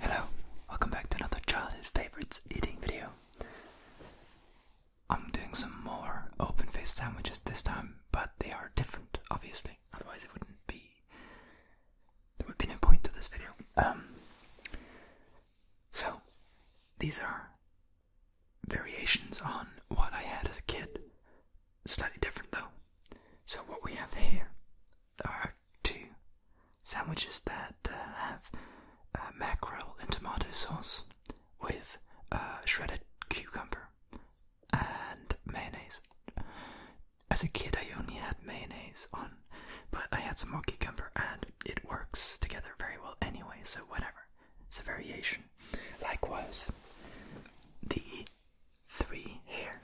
Hello, welcome back to another childhood favorites eating video. I'm doing some more open faced sandwiches this time, but they are different, obviously. Otherwise, it wouldn't be. There would be no point to this video. Um. So, these are variations on what I had as a kid. Slightly different though. So, what we have here are two sandwiches that uh, have uh, mackerel and tomato sauce with uh, shredded cucumber and mayonnaise. As a kid, I only had mayonnaise on, but I had some more cucumber and it works together very well anyway, so whatever. It's a variation. Likewise, the three here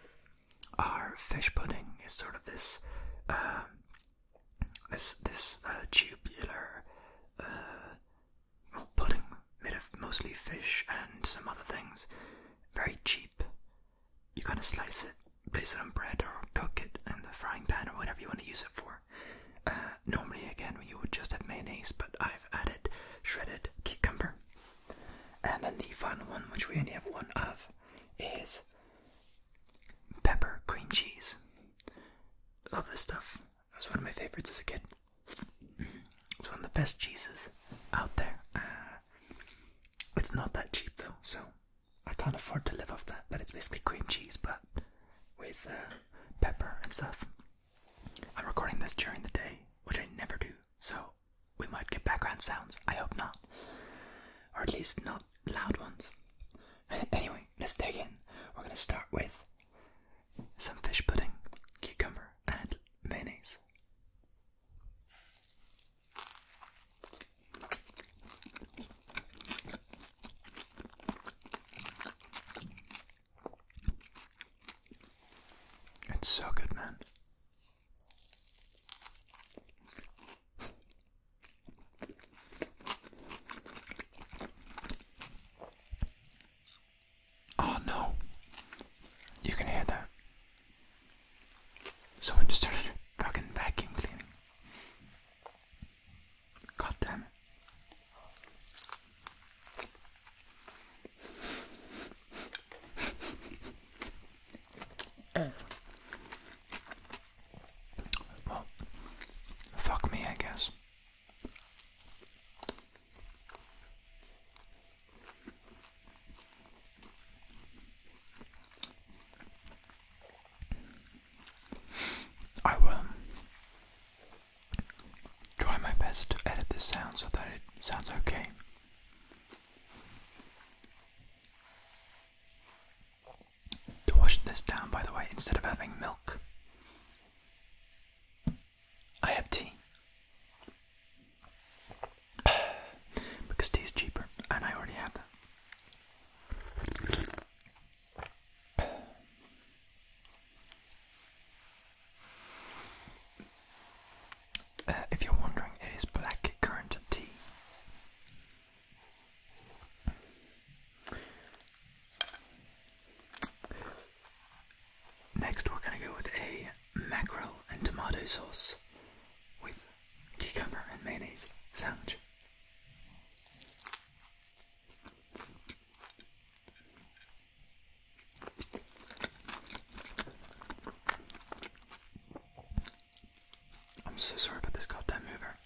Our fish pudding. is sort of this, uh, this this uh, tubular uh, pudding made of mostly fish and some other things. Very cheap. You kind of slice it, place it on bread, or cook it in the frying pan, or whatever you want to use it for. Uh, normally, again, you would just have mayonnaise, but I've added shredded cucumber. And then the final one, which we only have one of, is pepper cream cheese. Love this stuff. It was one of my favorites as a kid. It's one of the best cheeses out there. Uh, it's not that cheap though, so I can't afford to live off that. But it's basically cream cheese, but with uh, pepper, and stuff. I'm recording this during the day, which I never do, so we might get background sounds. I hope not. Or at least not loud ones. anyway, let's dig in. We're gonna start with some fish pudding, cucumber, and mayonnaise. It's so good, man. Oh no. You can hear that. Someone just started fucking vacuum cleaning. God damn it. Well, fuck me, I guess. I will try my best to edit this sound so that it sounds okay. To wash this down, by the way, instead of having milk, I have tea. because tea is cheaper, and I already have that. Uh, if you're wondering, it is black tea. Next, we're going to go with a mackerel and tomato sauce with cucumber and mayonnaise sandwich. I'm so sorry about this goddamn mover.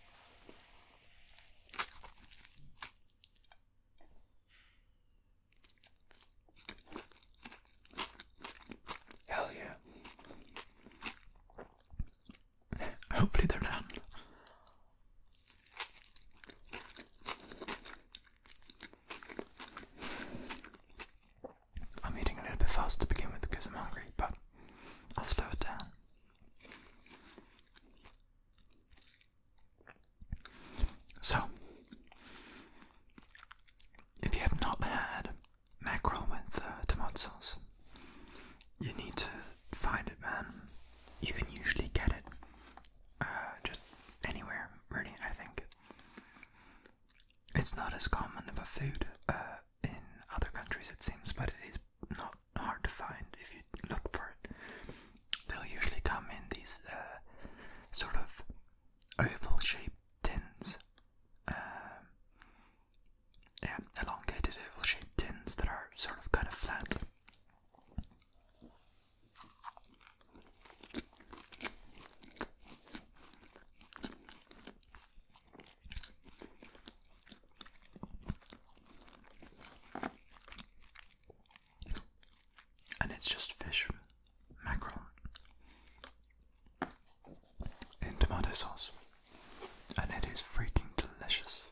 Hell yeah. Hopefully they're done. I'm eating a little bit fast to begin with because I'm hungry, but I'll slow it down. So, if you have not had mackerel with uh, tomato sauce, you need to find it, man. You can usually get it uh, just anywhere, really, I think. It's not as common of a food uh, in other countries, it seems, but it is not hard to find if you look for it. They'll usually come in these uh, sort of oval shaped tins um, elongated oval shaped tins that are sort of kind of flat. And it's just fish, mackerel, in tomato sauce, and it is freaking delicious.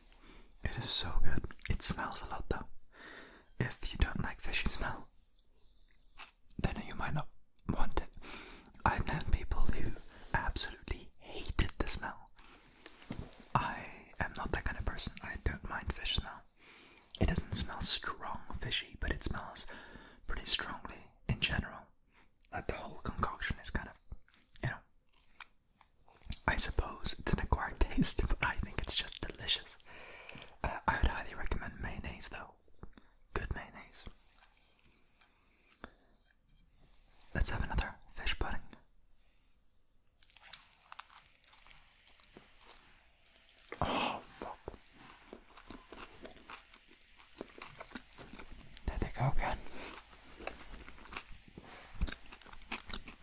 It is so good. It smells a lot though. If you don't like fishy smell, then you might not want it. I've known people who absolutely hated the smell. I am not that kind of person. I don't mind fish smell. It doesn't smell strong fishy, but it smells pretty strongly in general that the whole concoction is kind of, you know, I suppose it's an acquired taste, but I think it's just delicious. Uh, I would highly recommend mayonnaise though. Good mayonnaise. Let's have another fish pudding. Oh, fuck. There they go again.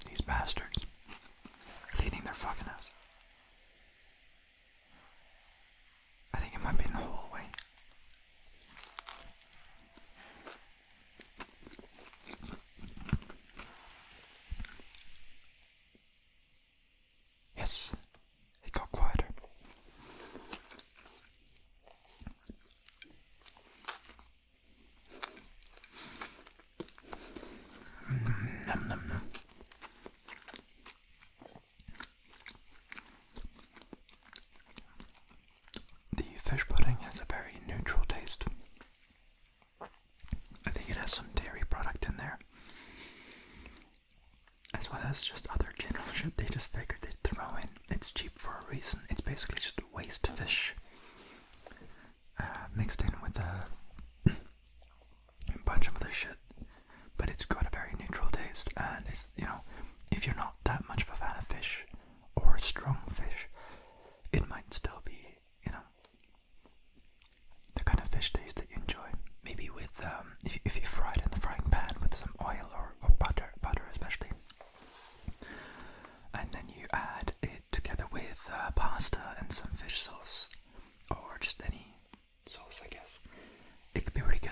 These bastards. Cleaning their fucking ass. I think it might be in the hallway. Yes, it got quieter. The fish pudding has a very neutral taste. I think it has some dairy product in there as well as just other general shit they just figured they'd throw in. It's cheap for a reason. It's basically just waste fish uh, mixed in with a bunch of other shit. But it's got a very neutral taste, and it's, you know, if you're not that much of a fan of fish or strong fish, it might still be, you know, the kind of fish taste that you enjoy. Maybe with, uh, um, if, you, fry it in the frying pan with some oil or, or butter, butter especially, and then you add it together with uh, pasta and some fish sauce, or just any sauce, I guess, it could be really good.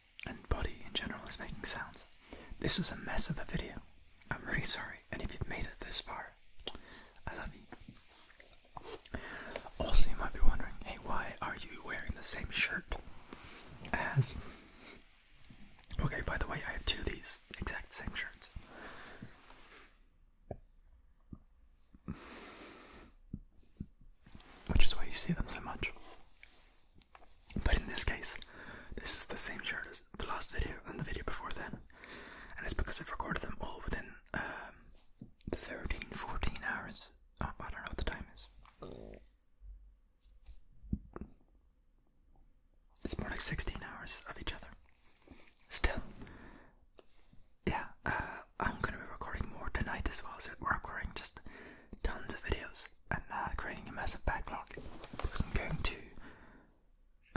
and body in general is making sounds. This is a mess of a video. I'm really sorry, and if you've made it this far, I love you. Also, you might be wondering, hey, why are you wearing the same shirt as. Okay, by the way, I have two of these exact same shirts which is why you see them so much. But in this case, this is the same shirt as the last video and the video before then, and it's because I've recorded them all within um, 13, 14 hours. Oh, I don't know what the time is. It's more like 16 hours of each other. Still, yeah, uh, I'm gonna be recording more tonight as well, so we're recording just tons of videos and uh, creating a massive backlog because I'm going to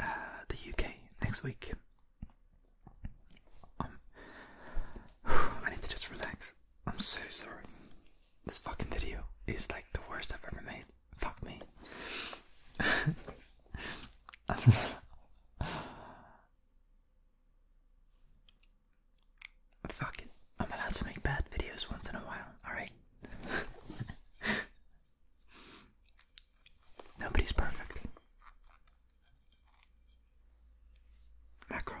uh, the UK next week. Um, I need to just relax. I'm so sorry. This fucking video is like the worst I've ever made. Fuck me. Fuck it. I'm allowed to make bad videos once in a while, alright? Nobody's perfect. Mackerel.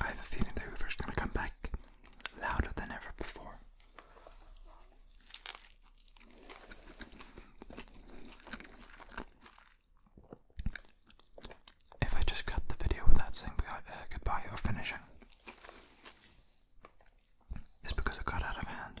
I have a feeling the Hoover's gonna come back louder than ever before. If I just cut the video without saying uh, goodbye or finishing, it's because it got out of hand.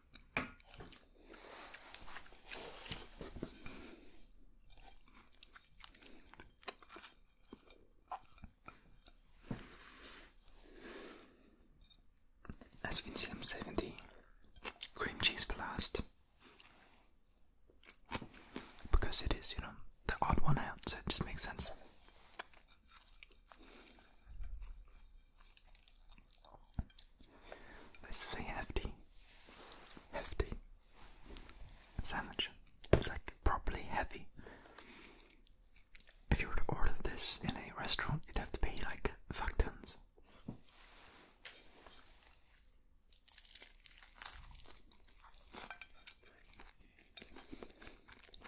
As you can see, I'm saving the cream cheese for last because it is, you know, the odd one out, so it just makes sense. This is a hefty, hefty sandwich. It's like properly heavy. If you were to order this in a restaurant, you'd have to pay like fuck tons.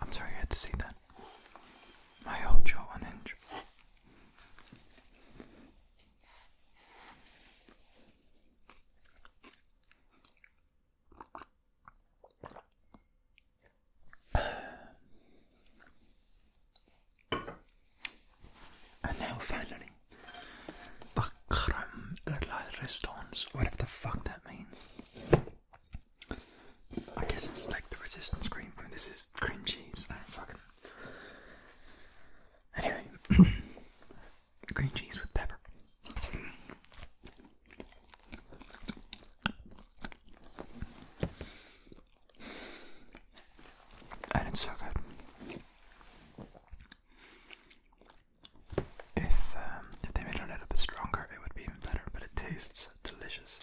I'm sorry you had to see that. My whole jaw unhinged. And now finally, Bakram Restaurants, whatever the fuck that means. I guess it's like the resistance cream. this is cream cheese. fucking. Anyway, green cheese with pepper. And it's so good. If um, if they made it a little bit stronger, it would be even better. But it tastes delicious.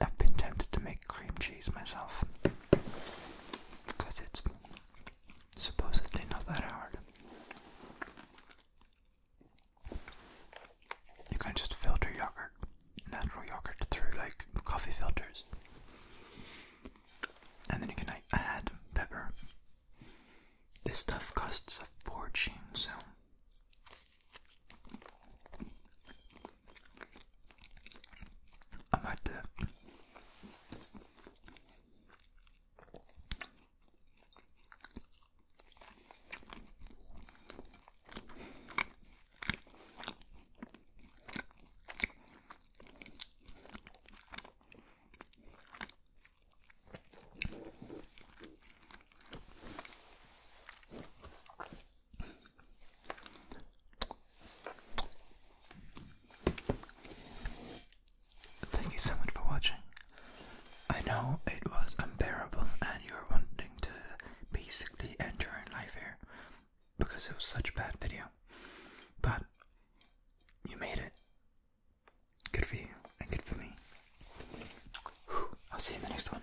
I've been tempted to make cream cheese myself because it's supposedly not that hard. You can just filter yogurt, natural yogurt, through like coffee filters. And then you can add pepper this stuff costs a fortune, so. I might do Thank you so much for watching. I know it was unbearable and you were wanting to basically end your life here because it was such a bad video. But you made it. Good for you and good for me. I'll see you in the next one.